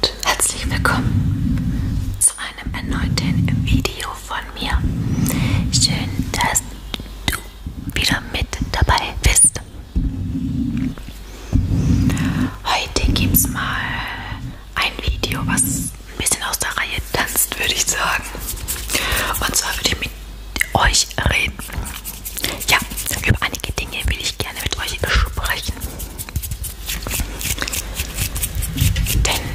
und herzlich willkommen zu einem erneuten Video von mir. Schön, dass du wieder mit dabei bist. Heute gibt es mal ein Video, was ein bisschen aus der Reihe tanzt, würde ich sagen. Und zwar würde ich mit euch reden. Ja, über einige Dinge will ich gerne mit euch sprechen. Denn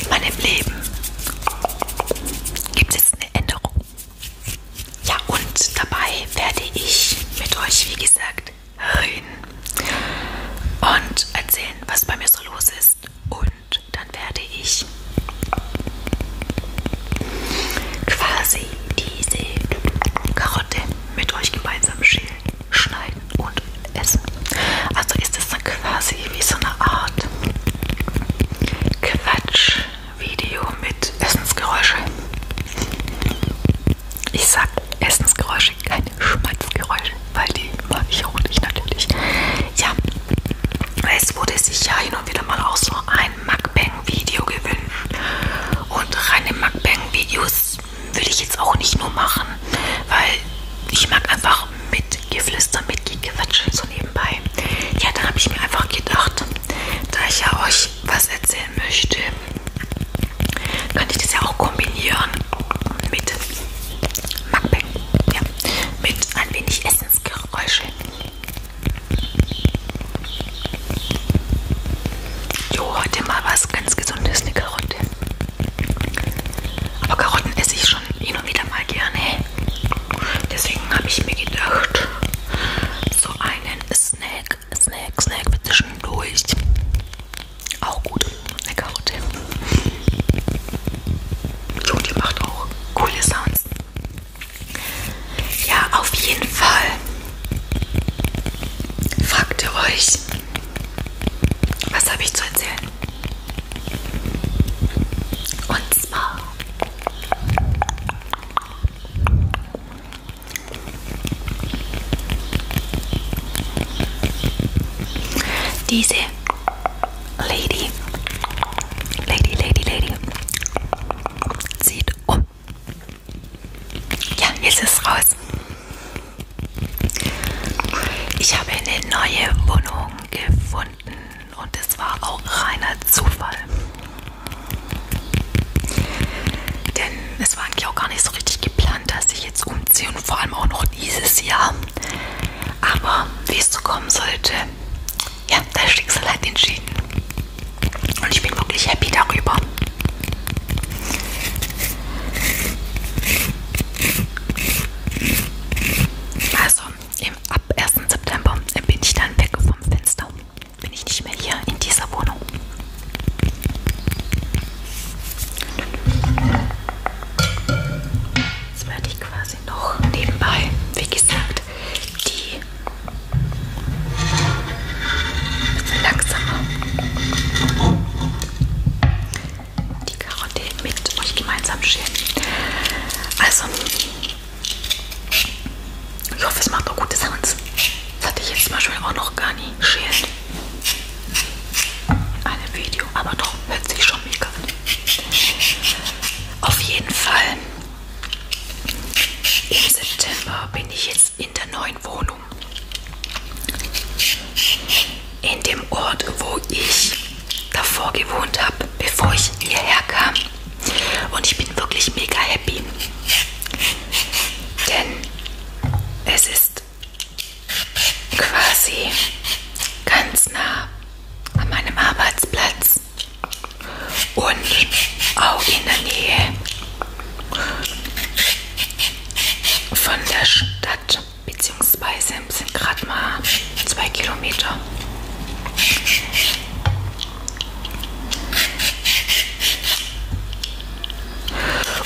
in meinem Leben gibt es eine Änderung. Ja, und dabei werde ich mit euch, wie gesagt, reden und erzählen, was bei mir so los ist. Und dann werde ich quasi diese Karotte mit euch gemeinsam schälen, schneiden und essen. Also ist es dann quasi wie so eine Art Quatsch-Video mit Essensgeräusche. Ich sag Essensgeräusche, keine Schmatzgeräusche, weil die mag ich auch nicht natürlich. Ja, es wurde sich ja hin und wieder mal auch so ein Mukbang-Video gewünscht. Und reine Mukbang-Videos das will ich jetzt auch nicht nur machen, weil ich mag einfach mitgeflüster, mitgequatschen so nebenbei. Ja, da habe ich mir einfach gedacht, da ich ja euch was erzählen möchte, könnte ich das ja auch kombinieren mit Mukbang, ja, mit ein wenig Essensgeräusche. Jo, heute mal was ganz Gesundes, eine Karotte. Aber Karotten esse ich schon hin und wieder mal gerne. Deswegen habe ich mir gedacht, so einen Snack, Snack, Snack für zwischendurch. Auch gut, eine Karotte. Jo, die macht auch coole Sounds. Ja, auf jeden Fall. Fragt ihr euch, was habe ich zu erzählen? Und zwar diese Lady, Lady, Lady, Lady zieht um. Ja, jetzt ist raus. Ich habe eine neue Wohnung gefunden und es war auch reiner Zufall. Denn es war eigentlich auch gar nicht so richtig geplant, dass ich jetzt umziehe und vor allem auch noch dieses Jahr. Aber wie es so kommen sollte, ja, das Schicksal hat entschieden. Und ich bin wirklich happy darüber. Also, im, ab 1. September bin ich dann weg vom Fenster. Bin ich nicht mehr hier in dieser Wohnung. Jetzt werde ich quasi noch nebenbei, wie gesagt, die Langsamer. Die Karotte mit euch gemeinsam schälen. Also, ich hoffe, es macht auch gute Sounds. Das hatte ich jetzt zum Beispiel auch noch gar nie schälen. In einem Video, aber doch, hört sich schon mega an. Auf jeden Fall. Im September bin ich jetzt Gesprächs in der neuen Wohnung. In dem Ort, wo ich davor gewohnt habe, bevor ich hierher kam. Und ich bin wirklich mega happy. Denn es ist quasi ganz nah an meinem Arbeitsplatz und auch in der Nähe von der Stadt, beziehungsweise sind gerade mal zwei Kilometer.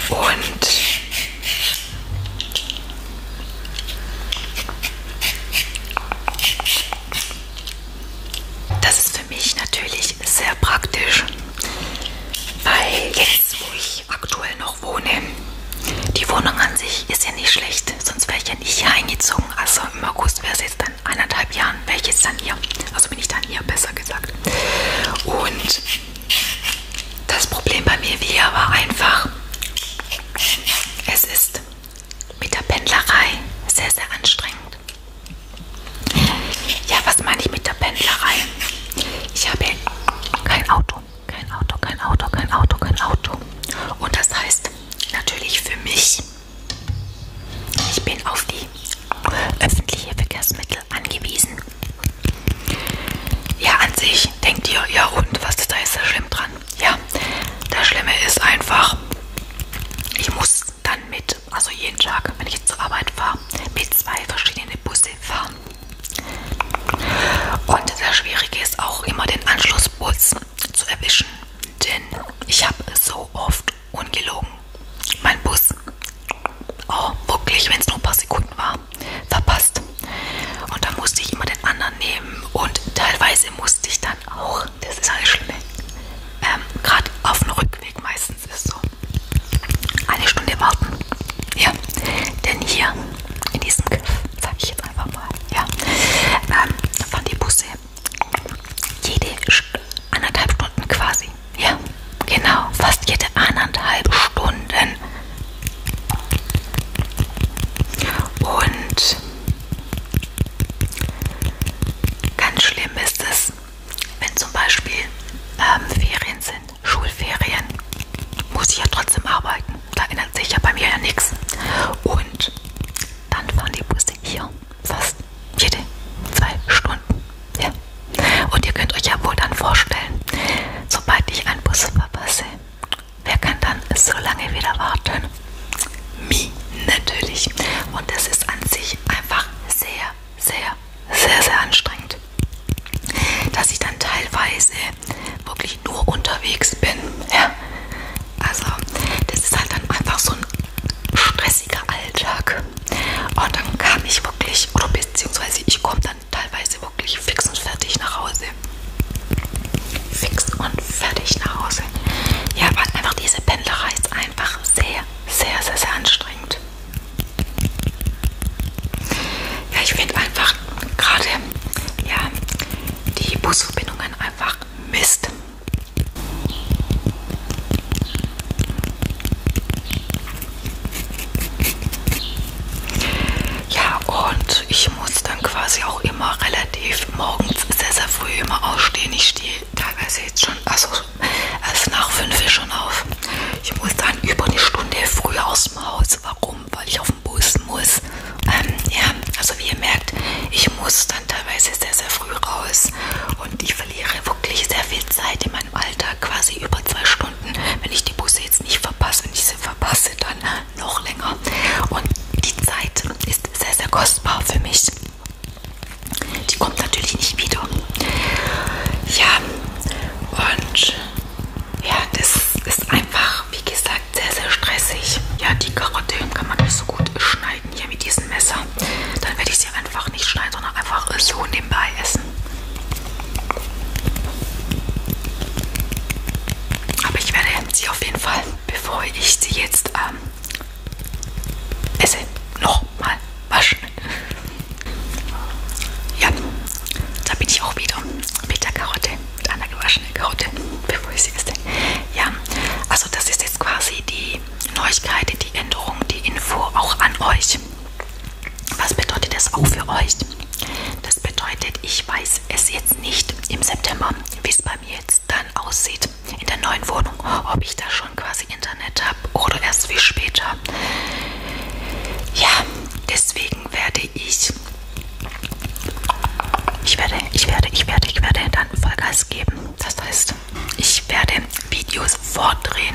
Und das ist ist für mich natürlich sehr praktisch, weil jetzt, wo ich aktuell noch wohne, die Wohnung an sich ist ja nicht schlecht, sonst wäre ich ja nicht hier eingezogen. Also im August wäre es jetzt dann eineinhalb Jahren, wäre ich jetzt dann hier. Also bin ich dann hier, besser gesagt. Und das Problem bei mir wieder war einfach, es ist mit der Pendlerei sehr, sehr anstrengend. Ja, was meine ich mit der Pendlerei? Ich habe kein Auto, kein Auto, kein Auto, kein Auto, kein Auto. Und das heißt natürlich für mich, ich bin auf die öffentlichen Verkehrsmittel angewiesen. Ja, an sich denkt ihr, ja und, was ist da jetzt so schlimm dran? Ja, das Schlimme ist einfach, ich muss dann mit Zeit, also jeden Tag, wenn ich zur Arbeit fahre, mit zwei verschiedenen Busse fahren. Und das Schwierige ist auch immer den Anschlussbus zu erwischen, denn ich habe so oft ungelogen mein Bus, oh wirklich, wenn es nur ein paar Sekunden war, verpasst. Und da musste ich immer den anderen nehmen und teilweise musste ich dann auch auch, das ist alles schlimm. Ähm, Gerade auf dem Rückweg meistens ist so. Eine Stunde warten. Ja. Denn hier in diesem Griff, sage ich jetzt einfach mal, ja, ähm, fahren die Busse jede St anderthalb Stunden quasi. Ja, genau. Fast jede anderthalb Stunden. Und ganz schlimm ist es, wenn zum Beispiel ähm, Ferien sind, Schulferien, muss ich ja trotzdem arbeiten. Da ändert sich ja bei mir ja nichts. Und dann fahren die Busse hier fast jede zwei Stunden. Ja. Und ihr könnt euch ja wohl dann vorstellen, sobald ich einen Bus verpasse, wer kann dann so lange wieder warten? Mi natürlich. Und das ist an sich einfach sehr, sehr, sehr, sehr anstrengend. Dass ich dann teilweise wirklich nur unterwegs bin. Ja. Also, das ist halt dann einfach so ein stressiger Alltag. Und dann kam ich wirklich, oder beziehungsweise ich komme dann teilweise wirklich fix und fertig nach Hause. Fix und fertig nach Hause. Ja, weil einfach diese Pendlerei ist einfach sehr, sehr, sehr, sehr anstrengend. Ja, ich finde einfach gerade ja, die Busverbindungen einfach Mist. Ja, und ich muss dann quasi auch immer relativ morgens sehr, sehr früh immer ausstehen. Ich stehe teilweise jetzt schon, also erst nach fünf schon auf. Ich muss dann über eine Stunde früher aus dem Haus. Warum? Weil ich auf dem Bus muss. Ähm, ja, also wie ihr merkt, ich muss dann teilweise sehr, sehr früh raus und ich verliere wirklich sehr viel Zeit in meinem Alltag, quasi über zwei Stunden, wenn ich die Busse jetzt nicht verpasse. Wenn ich sie verpasse, dann noch länger. Und die Zeit ist sehr, sehr kostbar für mich. Die kommt natürlich nicht wieder. Ja, und ja, das ist einfach, wie gesagt, sehr, sehr stressig. Ja, die Karotte kann man nicht so gut schneiden hier mit diesem Messer. Dann werde ich sie einfach nicht schneiden, sondern einfach so nebenbei essen. Aber ich werde sie auf jeden Fall, bevor ich sie jetzt ähm, es nochmal waschen. Ja, da bin ich auch wieder mit der Karotte, mit einer gewaschenen Karotte, bevor ich sie esse. Ja, also das ist jetzt quasi die Neuigkeit, die Änderung, die Info auch an euch. Was bedeutet das auch für euch? Das bedeutet, ich weiß es jetzt nicht im September, wie es bei mir jetzt es dann aussieht in der neuen Wohnung, ob ich da schon quasi Internet habe oder erst viel später. Ja, deswegen werde ich, ich werde, ich werde, ich werde, ich werde dann Vollgas geben. Das heißt, ich werde Videos vordrehen.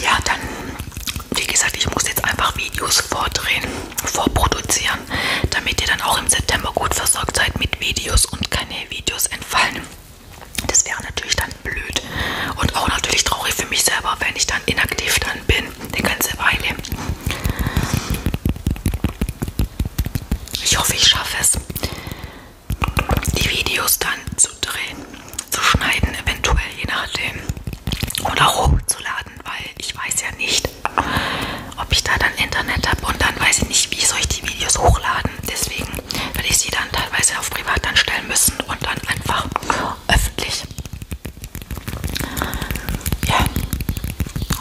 Ja, dann, wie gesagt, ich muss jetzt einfach Videos vordrehen, vorproduzieren, damit ihr dann auch im September gut versorgt seid mit Videos und keine Videos entfallen. Das wäre natürlich dann Halt blöd und auch natürlich traurig für mich selber, wenn ich dann inaktiv dann bin, eine ganze Weile. Ich hoffe, ich schaffe es, die Videos dann zu drehen, zu schneiden, eventuell je nachdem oder hochzuladen, weil ich weiß ja nicht, ob ich da dann Internet habe und dann weiß ich nicht, wie soll ich die Videos hochladen. Deswegen werde ich sie dann teilweise auf privat dann stellen müssen und dann einfach öffentlich. Ja,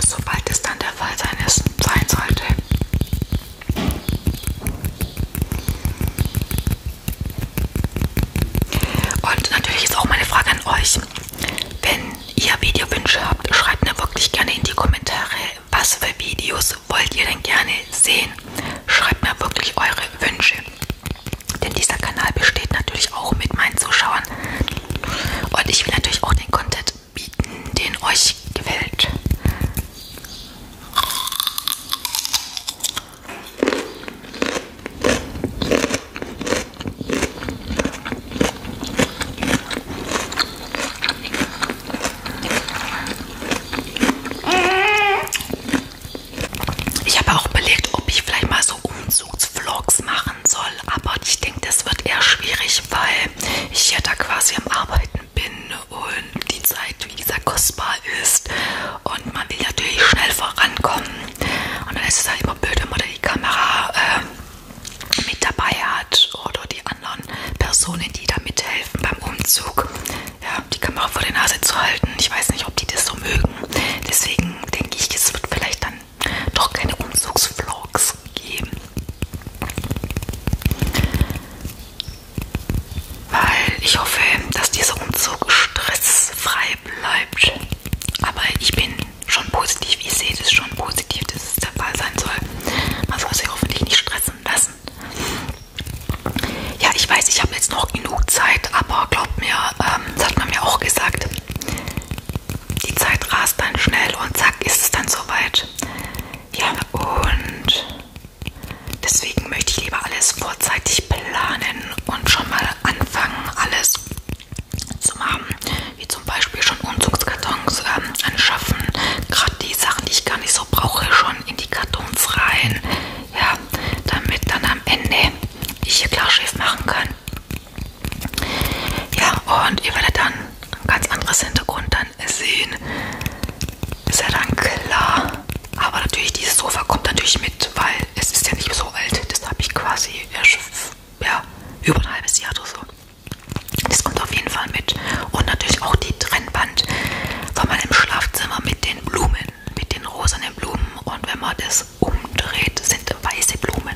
sobald es dann der Fall sein, ist, sein sollte. Und natürlich ist auch meine Frage an euch. Wenn ihr Videowünsche habt, schreibt mir wirklich gerne in die Kommentare, was für Videos wollt ihr denn gerne sehen. Schreibt mir wirklich eure Wünsche. Denn dieser Kanal besteht natürlich auch mit meinen Zuschauern. Und ich will natürlich auch den Content bieten, den euch gefällt. Ich habe auch überlegt, ob ich vielleicht mal so Umzugsvlogs machen soll, aber ich denke, das wird eher schwierig, weil ich ja da quasi am Arbeiten bin und die Zeit, wie gesagt, kostbar ist und man will natürlich schnell vorankommen. Und dann ist es halt immer blöd, wenn man da die Kamera äh, mit dabei hat oder die anderen Personen, die da mithelfen beim Umzug ja, die Kamera vor der Nase zu halten. Ich weiß nicht, ob die das so mögen. Deswegen denke ich, es wird vielleicht dann doch keine Umzugsvlogs geben. Weil ich hoffe, dass dieser Umzug stressfrei bleibt. Aber ich bin schon positiv. Ich sehe das schon positiv, dass es der Fall sein soll. Man soll sich hoffentlich nicht stressen lassen. Ja, ich weiß, ich habe jetzt noch genug Zeit, aber glaubt mir, ähm, das hat man mir auch gesagt, die Zeit rast dann schnell und zack, ist es dann soweit. Ja, und deswegen möchte ich lieber alles vorzeitig planen und schon mal anfangen, alles zu machen, wie zum Beispiel schon Umzugskartons ähm, anschaffen, gerade die Sachen, die ich gar nicht so brauche, schon in die Kartons rein, ja, runter, damit dann am Ende ich hier klar schief machen kann. Ja, und ihr werdet dann ein ganz anderes Hintergrund dann sehen. Ist ja dann klar. Aber natürlich, dieses Sofa kommt natürlich mit, weil es ist ja nicht so alt. Das habe ich quasi erst, ja, über ein halbes Jahr oder so. Das kommt auf jeden Fall mit. Und natürlich auch die Trennwand von meinem Schlafzimmer mit den Blumen mit den rosanen Blumen und wenn man das umdreht, sind weiße Blumen.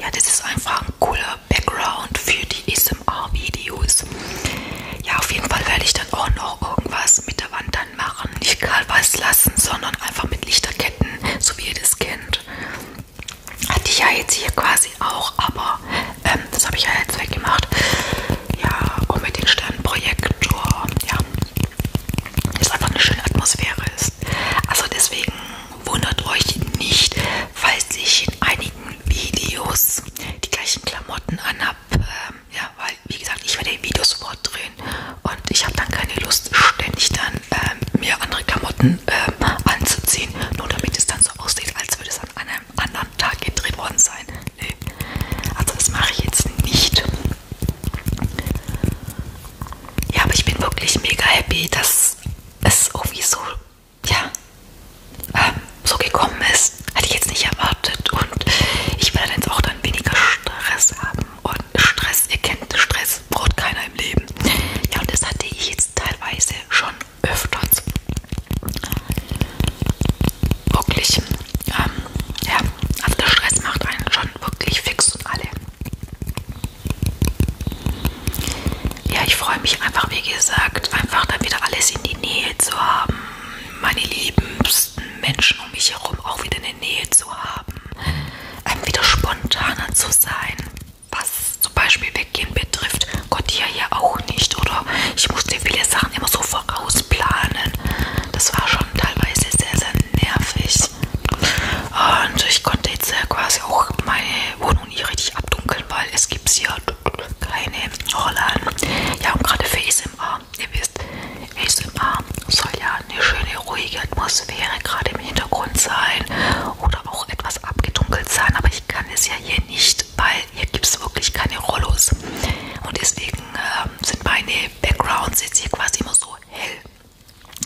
Ja, das ist einfach ein cooler Background für die ASMR-Videos. Ja, auf jeden Fall werde ich dann auch noch irgendwas mit der Wand dann machen. Nicht gerade was lassen, sondern einfach mit Lichterketten, so wie ihr das kennt. Hatte ich ja jetzt hier quasi auch, aber ähm, das habe ich ja jetzt weggemacht. Ja, und mit dem Sternenprojektor, ja, es einfach eine schöne Atmosphäre ist. Also deswegen wundert euch nicht, falls ich in einigen Videos die gleichen Klamotten anhab. Ähm, ja, weil wie gesagt, ich werde Videos sofort drehen und ich habe dann keine Lust, ständig dann ähm, mir andere Klamotten ähm, anzuziehen, nur damit es dann so aussieht, als würde es an einem anderen Tag gedreht worden sein. Nee. Also das mache ich jetzt nicht. Ja, aber ich bin wirklich mega happy, dass es irgendwie so, ja, ähm, so gekommen ist. Hatte ich jetzt nicht erwartet. Und ich werde jetzt auch dann weniger Stress haben. Und Stress, ihr kennt Stress, braucht keiner im Leben. Ja, und das hatte ich jetzt teilweise schon öfters wirklich, ähm, ja, also der Stress macht einen schon wirklich fix und alle. Ja, ich freue mich einfach, wie gesagt, einfach dann wieder alles in die Nähe zu haben, meine liebsten Menschen um mich herum auch wieder in der Nähe zu haben, ähm, wieder spontaner zu sein, was zum Beispiel Weggehen betrifft, Gott ja ja auch nicht, oder? Ich musste viele Sachen immer so vorausplanen. Das war schon teilweise sehr, sehr nervig. Und ich konnte jetzt äh, quasi auch meine Wohnung nicht richtig abdunkeln, weil es gibt hier keine Rollen. Ja, und gerade für ASMR, ihr wisst, ASMR soll ja eine schöne, ruhige Atmosphäre gerade im Hintergrund sein oder auch etwas abgedunkelt sein, aber ich kann es ja hier nicht, weil hier gibt es wirklich keine Rollos. Und deswegen ähm, sind meine Backgrounds jetzt hier quasi immer so hell.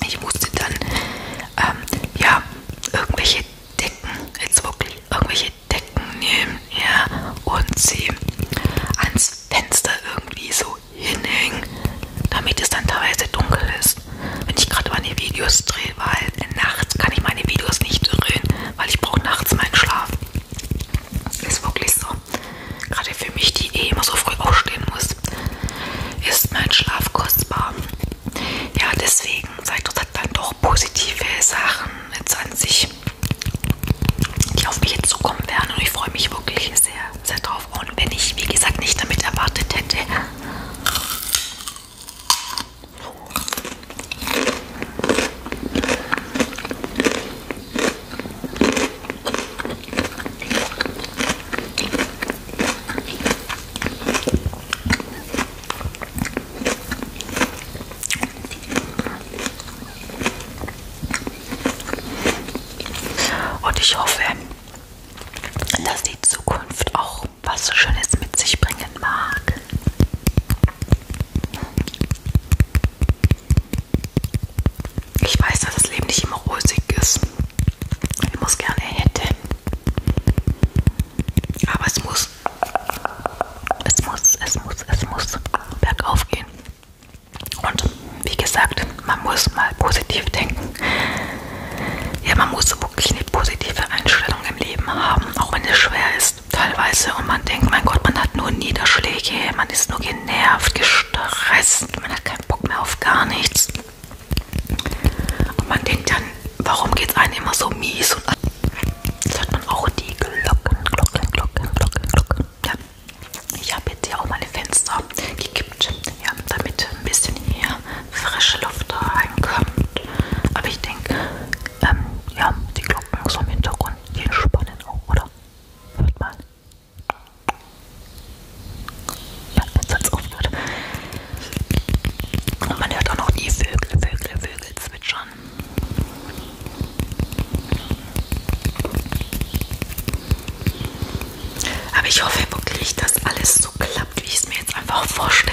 Ich musste dann, ähm, ja, irgendwelche Decken, jetzt wirklich irgendwelche Decken nehmen, ja, und sie ans Fenster irgendwie so hinhängen, damit es dann teilweise dunkel ist. Wenn ich gerade meine Videos drehe, weil nachts kann ich meine Videos nicht drehen, weil ich brauche nachts meinen Schlaf. Ist wirklich so gerade für mich, die eh immer so früh aufstehen muss, ist mein Schlaf kostbar. Ja, deswegen zeigt das dann doch positive Sachen jetzt an sich, die auf mich jetzt zukommen werden. Und ich freue mich wirklich sehr, sehr drauf. Und wenn ich, wie gesagt, nicht damit erwartet hätte, und ich hoffe, dass die Zukunft auch was so Schönes mit sich bringen mag. Ich weiß, dass das Leben nicht immer rosig ist. Ich muss gerne hätte. Aber es muss. Es muss, es muss, es muss bergauf gehen. Und wie gesagt, man muss mal positiv denken. Ja, man muss wirklich eine positive Einstellung im Leben haben, auch wenn es schwer ist ist teilweise und man denkt, mein Gott, man hat nur Niederschläge, man ist nur genervt, gestresst, man hat keinen Bock mehr auf gar nichts. Und man denkt dann, warum geht es einem immer so mies? Und jetzt hört man auch die Glocken, Glocken, Glocken, Glocken, Glocken. Ja. Ich habe jetzt hier auch meine Fenster gekippt, ja, damit ein bisschen hier frische Luft reinkommt. Aber ich denke, ähm, ja, die Glocken so im Hintergrund, die entspannen auch, oder? Hört mal. Ja, jetzt hat es aufgehört. Und man hört auch noch die Vögel, Vögel, Vögel zwitschern. Aber ich hoffe wirklich, dass alles so klappt, wie ich es mir jetzt einfach vorstelle.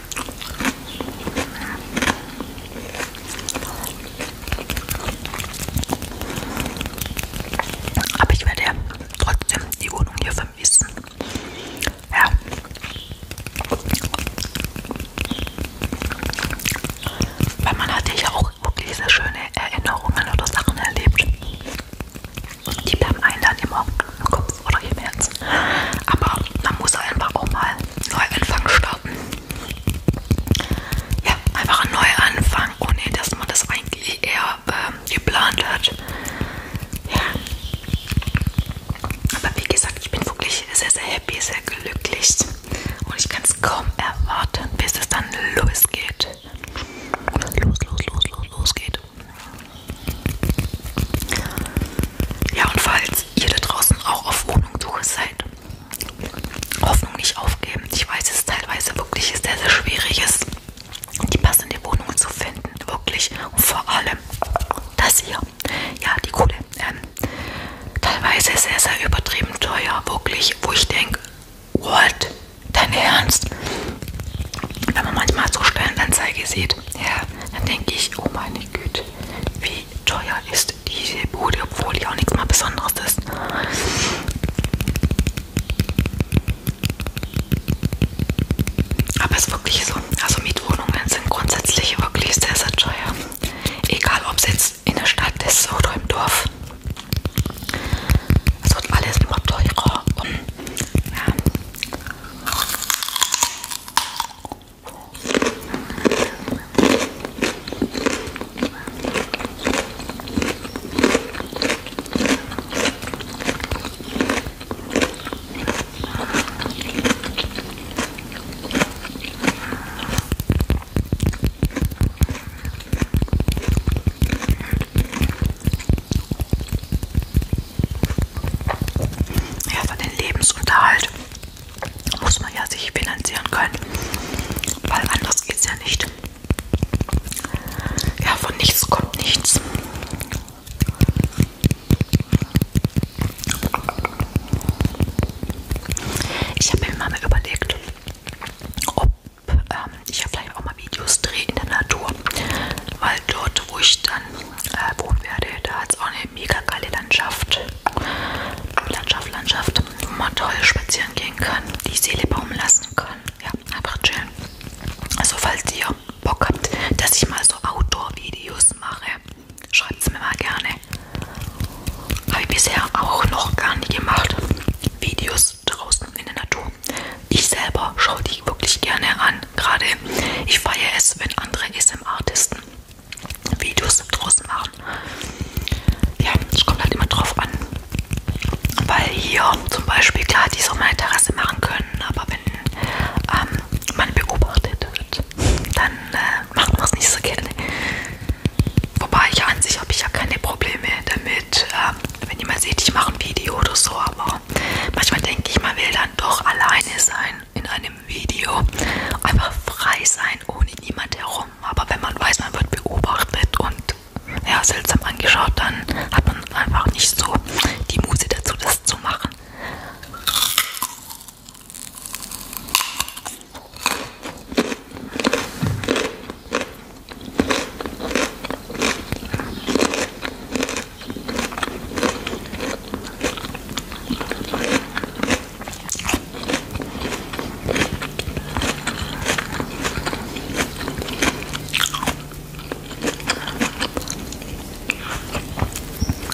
Aber ich werde ja trotzdem die Wohnung hier vermissen. Ja. Weil man hatte ja auch wirklich sehr schöne Erinnerungen oder Sachen erlebt. Die bleiben einem dann immer im Kopf oder im Herzen. Aber man muss einfach auch mal neu anfangen starten ja, einfach ein Neuanfang, ohne dass man das eigentlich eher äh, geplant hat. Ja. Aber wie gesagt, ich bin wirklich sehr, sehr happy, sehr glücklich. Und ich kann es kaum erwarten, bis es dann losgeht. Los, los, los, los, los geht. Ja, und falls ihr da draußen auch auf Wohnungssuche seid. Hoffnung nicht aufgeben. Ich weiß, es teilweise wirklich sehr, sehr schwierig ist, die passende Wohnung zu finden. Wirklich. Und vor allem das hier. Ja, die Kohle. Ähm, teilweise sehr, sehr übertrieben teuer. Wirklich. Wo ich denke, what? Dein Ernst? Wenn man manchmal so Stellenanzeige sieht, ja, dann denke ich, oh meine Güte, wie teuer ist echt die Bude, obwohl die auch nichts mal Besonderes ist. Aber es ist wirklich so, also Mietwohnungen sind grundsätzlich wirklich sehr, sehr teuer. Egal, ob es jetzt in der Stadt ist oder im Dorf. Es wird alles immer teurer. Und, ja. Ja, für den Lebensunterhalt muss man ja sich finanzieren können, weil anders geht es ja nicht. Ja, von nichts kommt nichts. Ich habe mir mal überlegt, ob ähm, ich ja vielleicht auch mal Videos drehe in der Natur, weil dort, wo ich dann äh, wo werde. Da hat es auch eine mega geile Landschaft. Landschaft, Landschaft, wo man toll spazieren gehen kann, die Seele baumeln lassen kann. Ja, einfach chillen. Also falls ihr Bock habt, dass ich mal so Outdoor-Videos mache, schreibt es mir mal gerne. Habe ich bisher auch noch gar nicht gemacht. Videos draußen in der Natur. Ich selber schaue die wirklich gerne an. Gerade ich feiere es, wenn andere SM-Artisten Videos draußen machen. Ja, es kommt halt immer drauf an. Weil hier zum Beispiel, klar, die so meine Terrasse machen können, aber wenn ähm, man beobachtet wird, dann äh, macht man es nicht so gerne. Wobei ich ja an sich habe ich ja keine Probleme damit, äh, wenn jemand sieht, ich mache ein Video oder so, aber manchmal denke ich, man will dann doch alleine sein in einem Video einfach frei sein, ohne niemand herum. Aber wenn man weiß, man wird beobachtet und ja, seltsam angeschaut, dann hat man einfach nicht so die Muse dazu, das zu machen.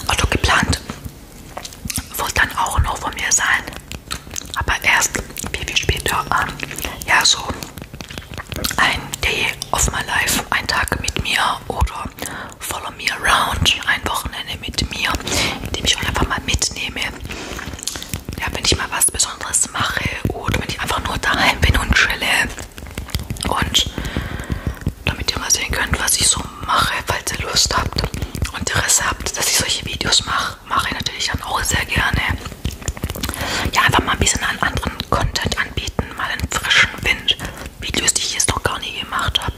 Otto geplant wird dann auch noch von mir sein, aber erst viel, viel später. Ähm, ja, so ein Day of my Life, ein Tag mit mir oder Follow Me Around, ein Wochenende mit mir, in dem ich euch einfach mal mitnehme. Ja, wenn ich mal was Besonderes mache oder wenn ich einfach nur daheim bin und chille. Und damit ihr mal sehen könnt, was ich so mache, falls ihr Lust habt und Interesse habt, dass ich solche Videos mache, mache ich natürlich dann auch sehr gerne. Ja, einfach mal ein bisschen einen anderen Content anbieten, mal einen frischen Wind. Videos, die ich jetzt noch gar nie gemacht habe.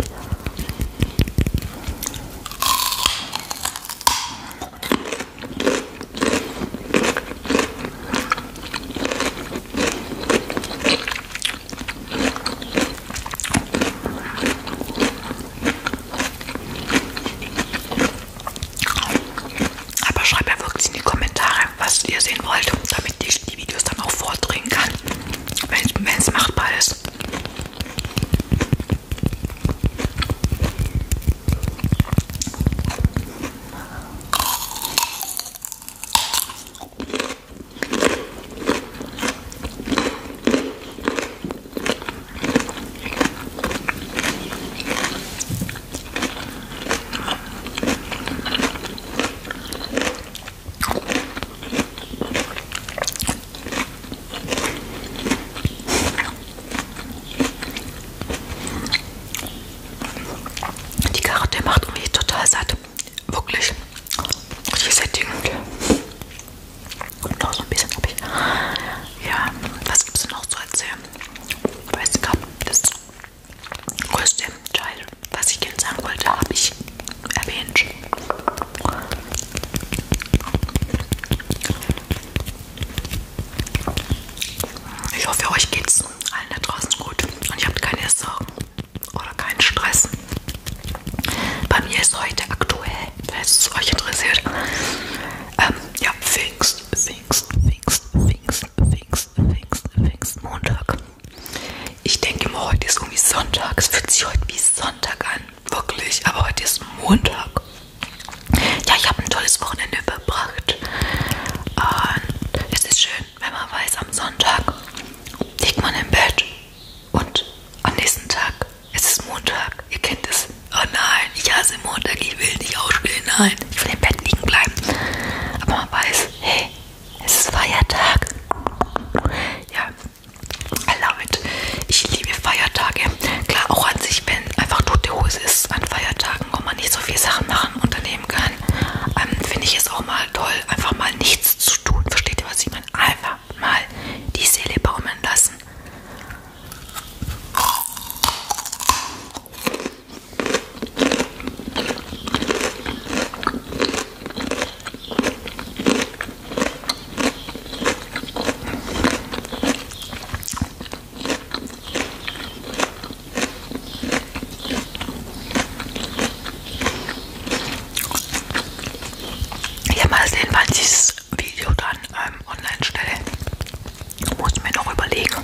Aber schreibt ja wirklich in die Kommentare, was ihr sehen wollt, damit ich die Videos dann auch vordrehen kann wenn es machbar ist. Die Karotte macht mich total satt. Wirklich. Richtig sättigend. Und noch so ein bisschen habe ich. Ja, was gibt es noch zu erzählen? Ich weiß gar nicht, das größte Teil was ich gerne sagen wollte, habe ich erwähnt. Ich hoffe, euch geht's allen da draußen gut und ihr habt keine Sorgen oder keinen Stress. Bei mir ist heute aktuell, falls es euch interessiert, ähm, ja, Pfingst, Pfingst, Pfingst, Pfingst, Pfingst, Pfingst, Pfingst, Montag. Ich denke mal, heute ist irgendwie Sonntag. Es fühlt sich heute wie Sonntag an. Wirklich. Aber heute ist Montag. Ja, ich habe ein tolles Wochenende verbracht. Und es ist schön, wenn man weiß, am Sonntag liegt man im Bett. Und am nächsten Tag, es ist Montag. Ihr kennt es. Oh nein, ich hasse Montag. Ich will nicht aufstehen. Nein, ich will im Bett liegen bleiben. Aber man weiß, hey, es ist Feiertag. Ja, I love it. Ich liebe Feiertage. Klar, auch an sich, wenn einfach tote Hose ist an Feiertagen, wo man nicht so viele Sachen machen, unternehmen kann, ähm, finde ich es auch mal toll, einfach mal nichts zu tun. Versteht ihr, was ich meine? Einfach mal die Seele baumeln lassen. Ja, mal sehen, wann ich das Video dann ähm, online stelle. Muss mir noch überlegen.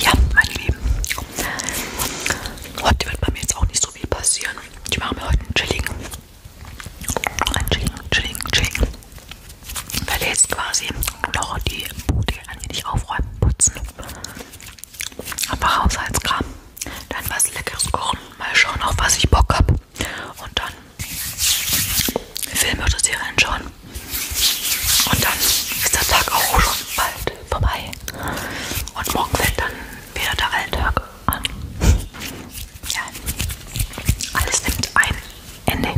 Ja, meine Lieben, heute wird bei mir jetzt auch nicht so viel passieren. Ich mache mir heute einen chilligen, einen chilligen, chilligen, chilligen. Ich werde jetzt quasi noch die Bude ein wenig aufräumen, putzen. Aber Haushaltskram. Dann was Leckeres kochen. Mal schauen, auf was ich Bock habe. Und dann Filme oder Serien schauen. Und dann ist der Tag auch schon bald vorbei. Und morgen fällt dann wieder der Alltag an. Ja, alles nimmt ein Ende.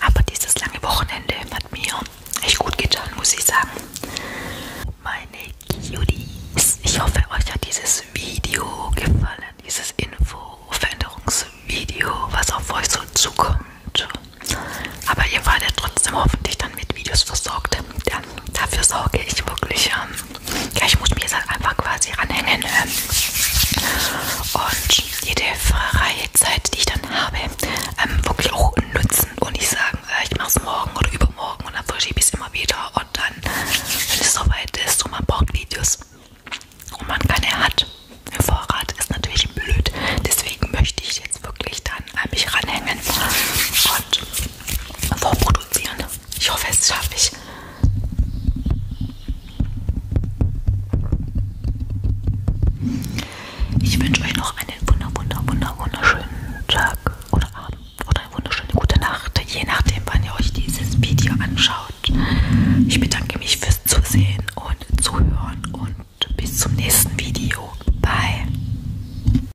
Aber dieses lange Wochenende hat mir echt gut getan, muss ich sagen. Meine Cuties, ich hoffe, euch hat dieses Video gefallen, dieses Info-Veränderungsvideo, was auf euch so zukommt. Aber ihr wartet trotzdem hoffentlich dann mit Videos versorgt. Ja, dafür sorge ich wirklich. Ähm, ja, ich muss mir jetzt halt einfach quasi ranhängen. Ähm, und jede freie Zeit, die ich dann habe, ähm, wirklich auch nutzen und nicht sagen, äh, ich mache es morgen oder übermorgen und dann verschiebe ich es immer wieder. Und dann, wenn es soweit ist und man braucht Videos und man keine hat, im Vorrat ist natürlich blöd. Deswegen möchte ich jetzt wirklich dann an mich ranhängen und vorproduzieren. Ich hoffe, es schaffe ich. Ich wünsche euch noch einen wunder, wunder, wunder, wunderschönen Tag oder Abend oder eine wunderschöne gute Nacht, je nachdem, wann ihr euch dieses Video anschaut. Ich bedanke mich fürs Zusehen und Zuhören und bis zum nächsten Video. Bye.